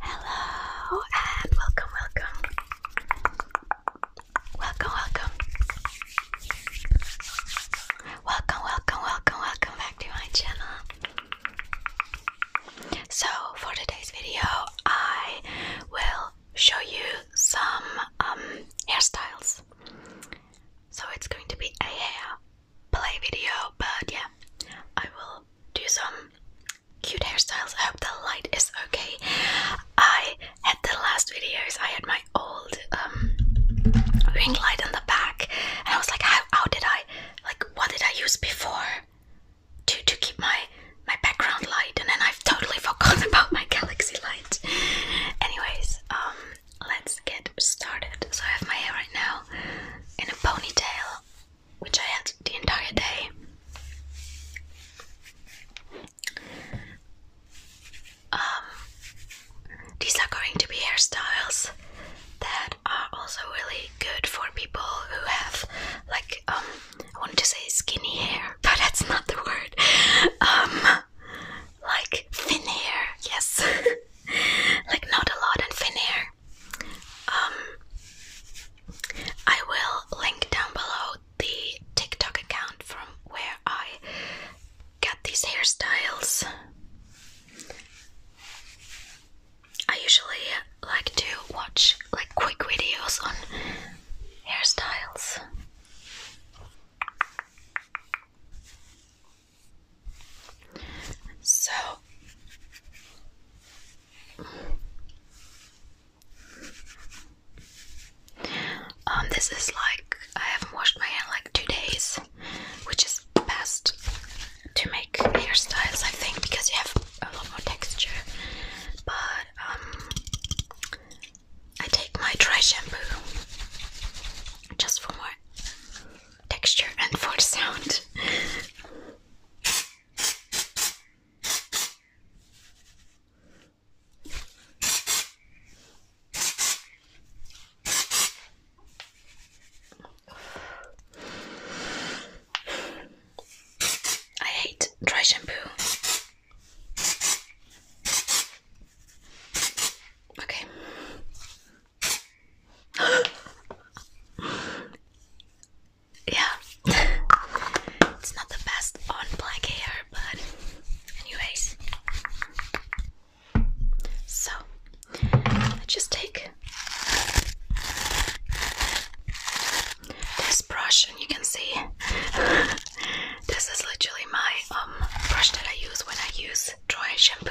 Hello and welcome, welcome. Welcome, welcome. Welcome, welcome, welcome, welcome back to my channel. So, for today's video, I will show you some um, hairstyles. So, it's going to be a hair play video, but yeah, I will do some cute hairstyles. I hope the light is okay. I had the last videos, I had my old um, ring light in the back, and I was like, how, how did I, like, what did I use before to, to keep my, my background light? And then I've totally forgotten about my galaxy light. Anyways, um, let's get started. So I have my hair right now in a ponytail which I had the entire day. Um, these are going to be hairstyles that are also really good for people who have, like, um, I wanted to say skinny hair, but that's not the word. Um, like thin hair, yes, like not a lot and thin hair. Um, I will link down below the TikTok account from where I get these hairstyles. I usually like to watch like quick videos on hairstyles. So um, this is like I haven't washed my hair in like two days, which is best to make hairstyles I think because you have a lot more texture. But um I take my dry shampoo just for more texture and for sound. I hate dry shampoo. Okay, yeah, it's not the best on black hair, but, anyways. So, I just take this brush, and you can see this is literally my um brush that I use when I use dry shampoo.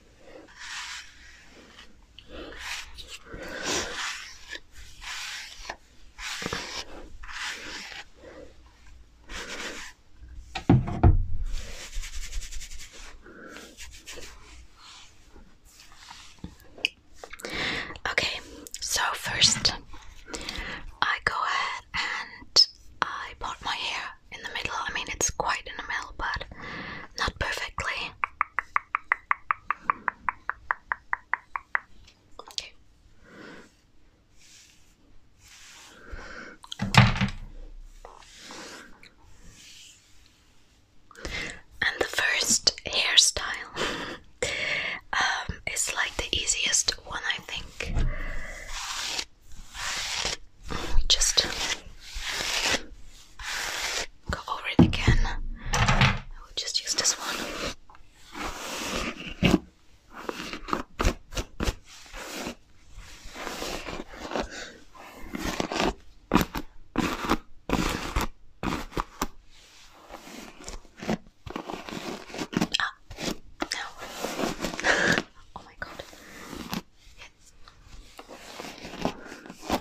Okay, so first I go ahead and I part my hair in the middle. I mean, it's quite in the middle, but not perfectly. And the first hairstyle um, is like the easiest one, I think. Just Go over it again. I will just use this one. Ah, oh my god. Yes.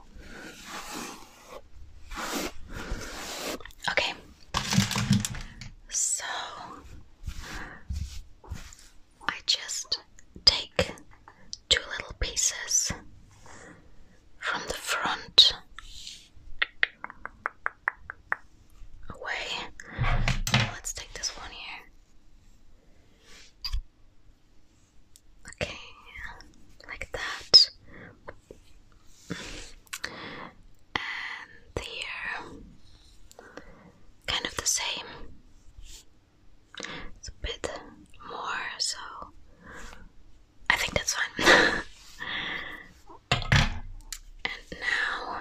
Okay. So I just take two little pieces from the front away. Let's take this one here. Okay, like that. And here, kind of the same. It's a bit more, so I think that's fine. and now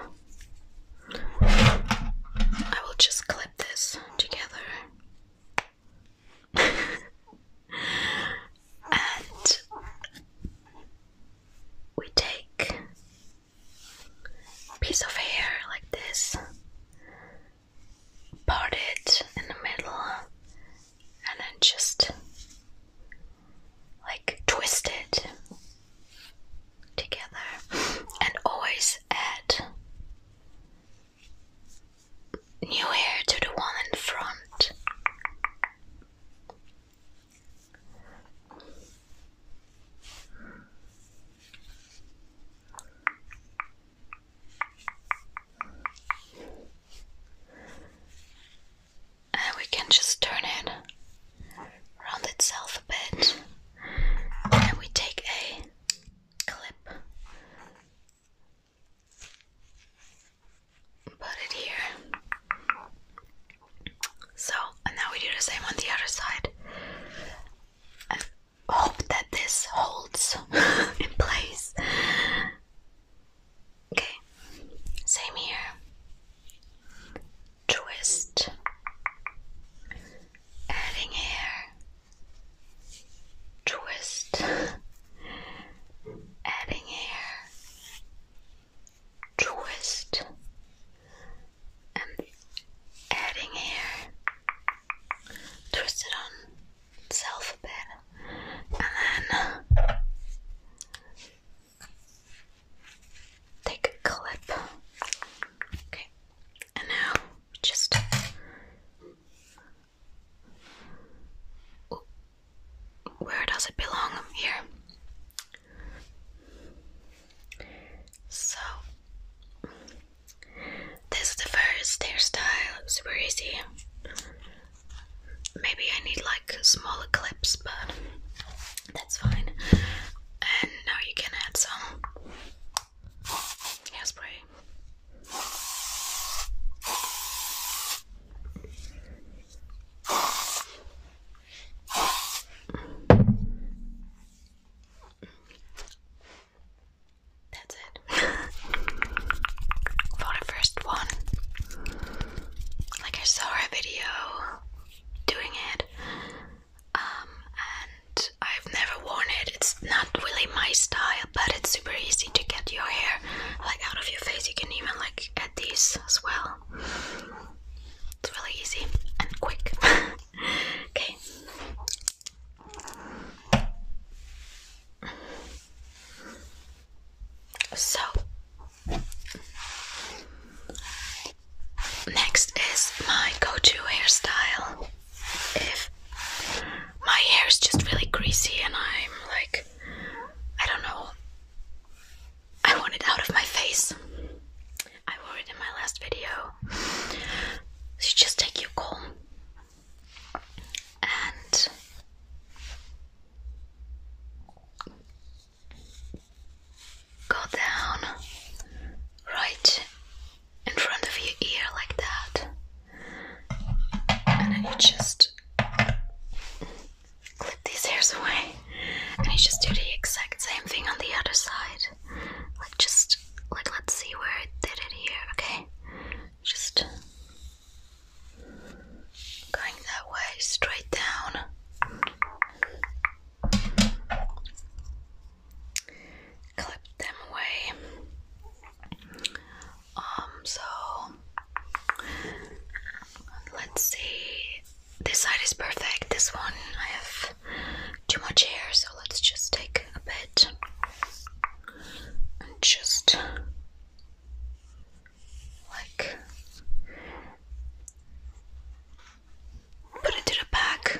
I will just clip this together and we take a piece of hair like this, part it in the middle, and then just like twist it together, and always add new hair to the one in front. And uh, we can just turn it round itself a bit. And we take a clip. Put it here. So, now we do the same on the other side. hope that this holds in place. Okay, same here. Twist. Adding hair twist, adding hair, twist, and adding hair, twist it on itself a bit, and then take a clip. Okay, and now just where does it belong? Here. So this is the first hairstyle. Super easy. Maybe I need like smaller clips, but that's fine. And now you can add some hairspray. That's it. For the first one, like I saw a video doing it, um, and I've never worn it. It's not really my style, but it's super easy to get your hair like out of your face. You can even like add these as well. It's really easy and quick. okay. So next is my go-to hairstyle if my hair is just really greasy and I'm like, I don't know, I want it out of my face. I wore it in my last video. So just take your comb and go down right in front of your ear like that, and then you just clip these hairs away, and you just do the exact same thing on the other side. Like just like let's see where I did it here, okay? Just going that way, straight down clip them away. Um, so let's see. This side is perfect. This one I have too much hair, so let's just take a bit and just like put it to the back.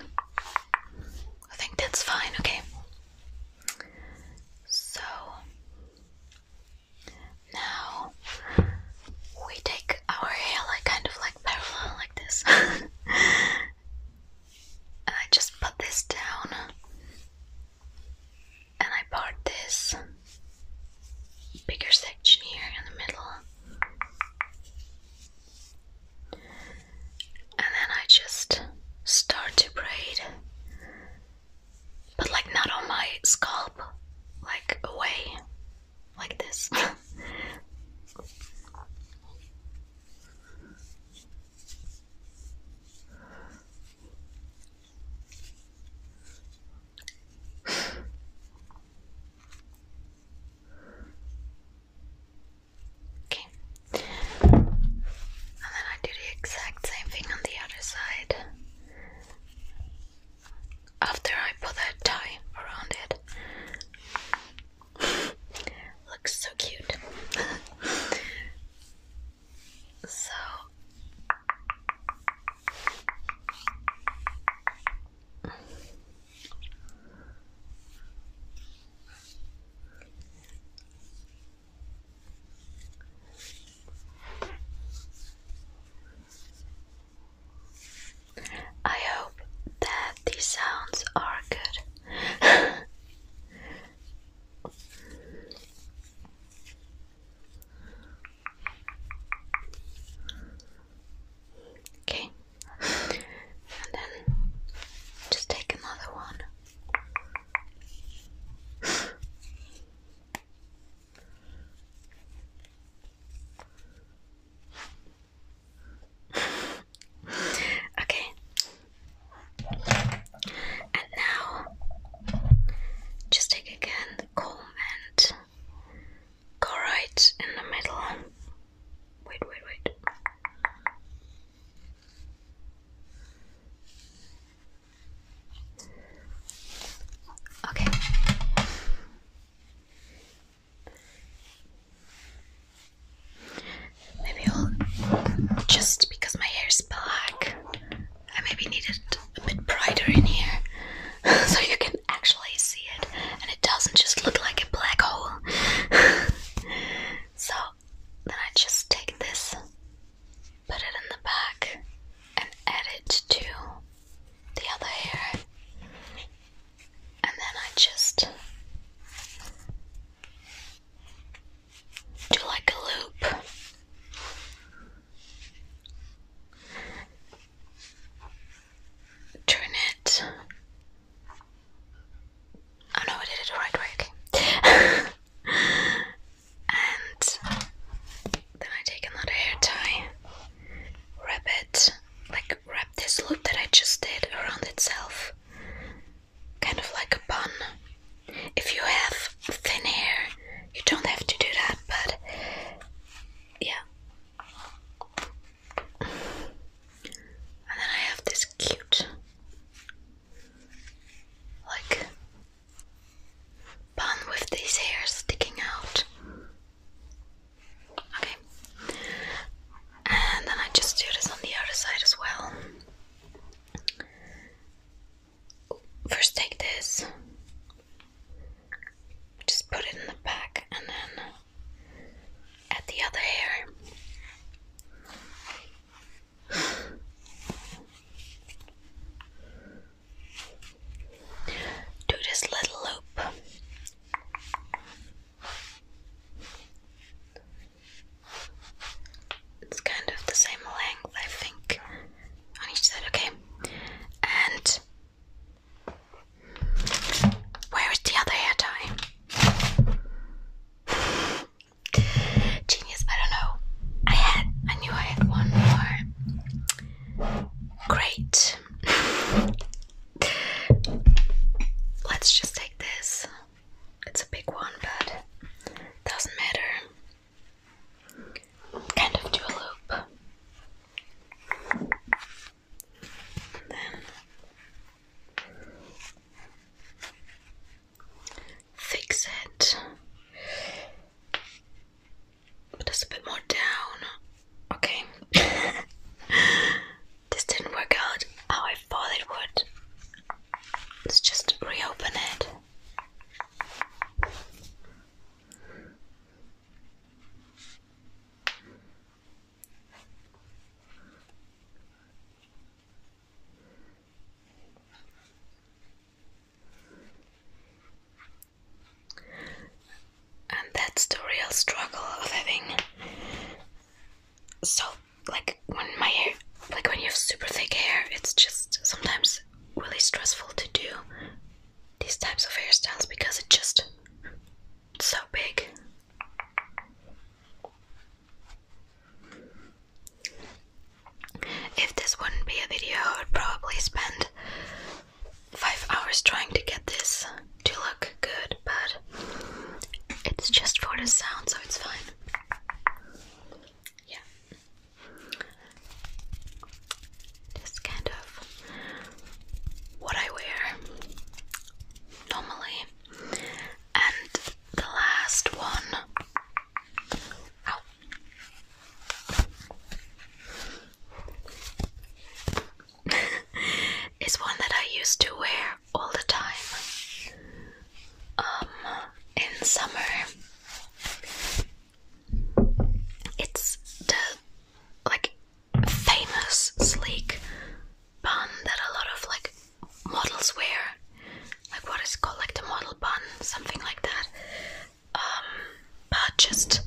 I think that's fine, okay. So now we take our hair like kind of like parallel like this. and I just put this down and I part this bigger section here in the middle. And then I just start to braid, but like not on my scalp, like away, like this. Okay. And then I do the exact same thing on the other side. After I put that tie around it. Looks so cute. so I hope that these sounds are good. Okay, and then just take another one. okay, and now just take again the comb and go right in the middle. Wait, wait, wait. Okay. Maybe just because my hair is black, I maybe need it a bit brighter in here. so you can actually see it and it doesn't just look like a black hole. so then I just take this, put it in the back, and add it to the other hair, and then I just do like a loop turn it. Oh no, I did it the right way, and then I take another hair tie, wrap it, like wrap this loop that I just did around itself, kind of like a bun. If you have thin hair, you don't have to do that, but yeah, and then I have this cute, like, bun with these hairs sticking out. Okay. And then I just do this on the other side as well. First, take this just put it in the back and then add the other hair. Do this little loop. It's kind of the same length, I think, on each side, okay? And where is the other hair tie? Genius, I don't know. I had, I knew I had one more. Great. Let's just take this. It's a big one, but doesn't matter. Kind of do a loop then fix it. But that's a bit more down. Okay. this didn't work out how I thought it would. Let's just reopen it. And that's the real struggle of having so like when my hair like when you have super thick hair it's just sometimes really stressful to do these types of hairstyles because it's just so big. If this wouldn't be a video, I would probably spend five hours trying to get this to look good, but it's just for the sound, so it's fine. Yeah just kind of what I wear normally. And the last one is one that I used to wear all the time um in summer it's the like famous sleek bun that a lot of like models wear. Like what is called like the model bun, something like that. Um, but just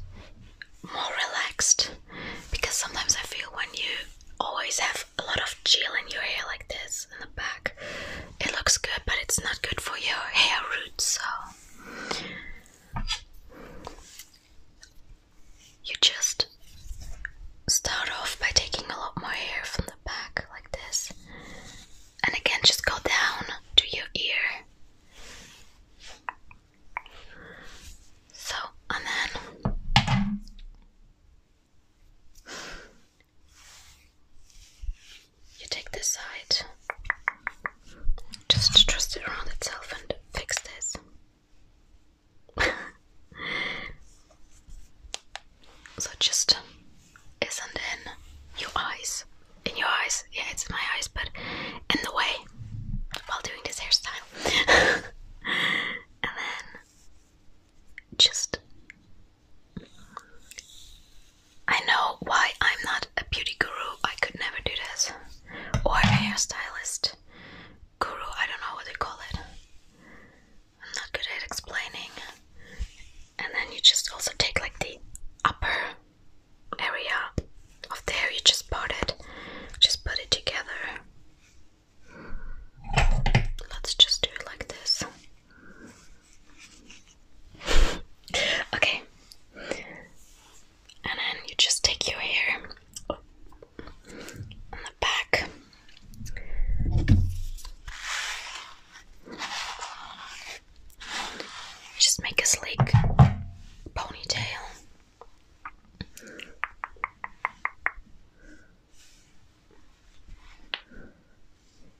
more relaxed because sometimes I feel when you always have a lot of gel in your hair like this in the back, it looks good, but it's not good for your hair roots. So you just start off by taking a lot more hair from the back, like this, and again, just go down to your ear. So, and then you take this side just trust it around itself and fix this. so just isn't in your eyes. In your eyes. Yeah, it's in my eyes, but in the way while doing this hairstyle. and then just I know why I'm not a beauty guru. I could never do this. Or a hairstylist guru. I don't know what they call it. I'm not good at explaining. And then you just also take like the upper area of there. You just part it. Just put it together. Let's just do it like this. Okay. And then you just take your hair on the back. Just make a sleek ponytail.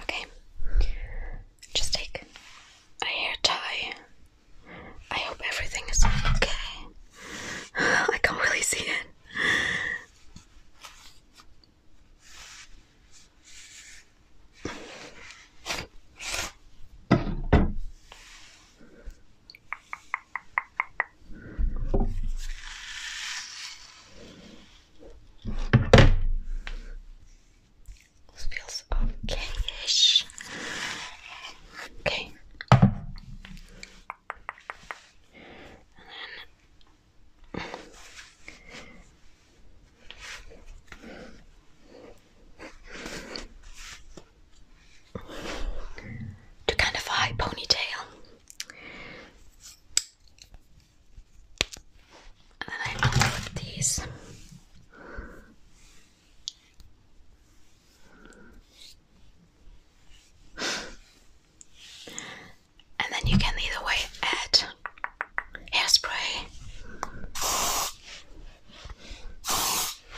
Okay. Just take a hair tie. I hope everything is okay. I can't really see it. This feels okay-ish. Okay. And then to kind of high ponytail. And then I upload these. And then you can either way add hairspray.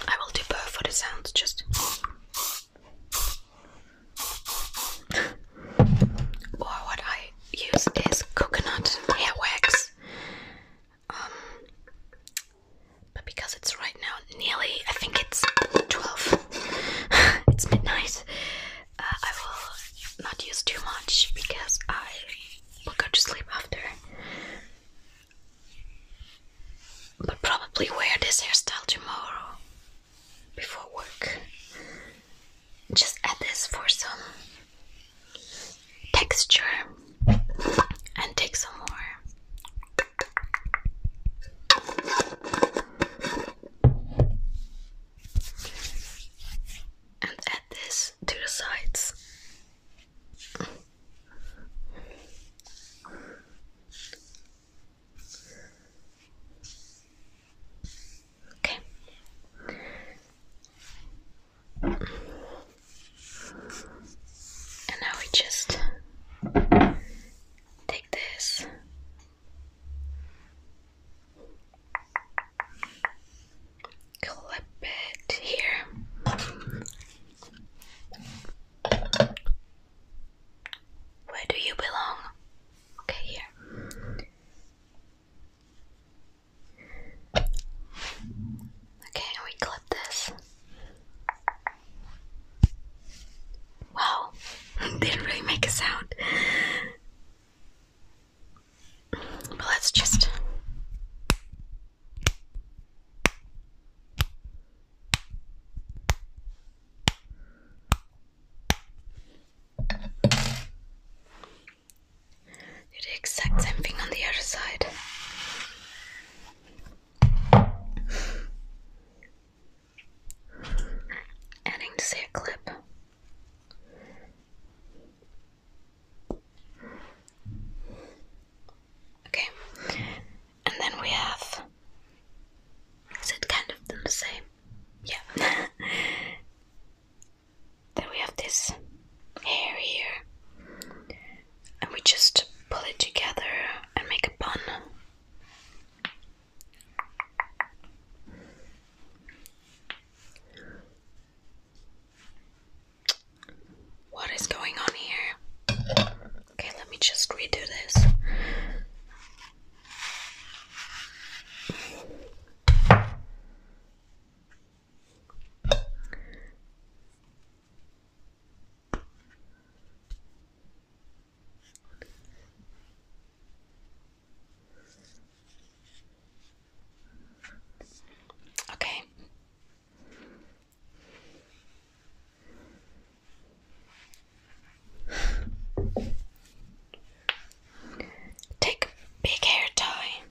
I will do both for the sound, just or what I use is coconut hair wax. Um, but because it's right now nearly, I think it's 12, it's midnight, uh, I will not use too much because I will go to sleep after. But probably wear this hairstyle tomorrow before work. Just add this for some texture and take some more. And add this to the sides. Okay. And now we just take this. Clip it here. Where do you belong? Okay, here. Okay, we clip this. Wow, didn't really make a sound. But let's just. Do the exact same thing on the other side. Adding to say clip. Okay, and then we have. Is it kind of the same? Yeah. then we have this hair here. And we just pull it together and make a bun. What is going on here? Okay, let me just redo this. Okay. Take big hair tie.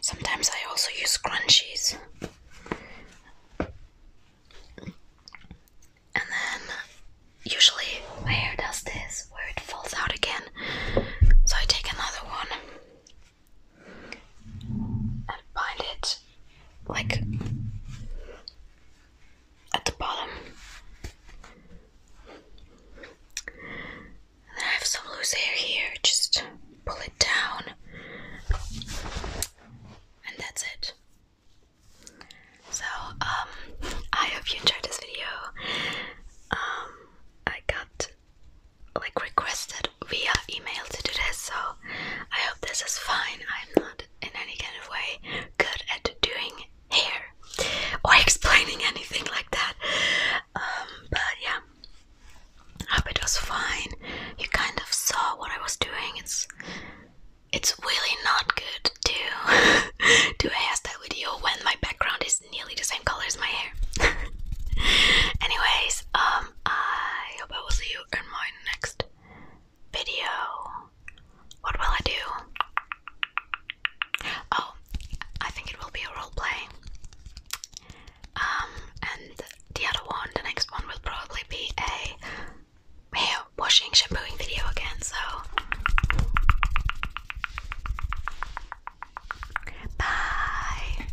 Sometimes I also use scrunchies. And then usually my hair does this where it falls out again. So I take another one and bind it like at the bottom. then I have some loose hair here, just pull it down, and that's it. So, um, I hope you enjoyed this video. Um, I got like requested via email to do this, so I hope this is fine. I'm not in any kind of way good at doing hair or explaining anything like that. Um, but yeah, I hope it was fine. You kind of saw what I was doing. It's it's really not good to do a hairstyle video when my background is nearly the same color as my hair. Anyways, um, I hope I will see you in my next video. What will I do? Oh, I think it will be a role play. Um, and the other one, the next one, will probably be a hair washing, shampooing video again. So, bye.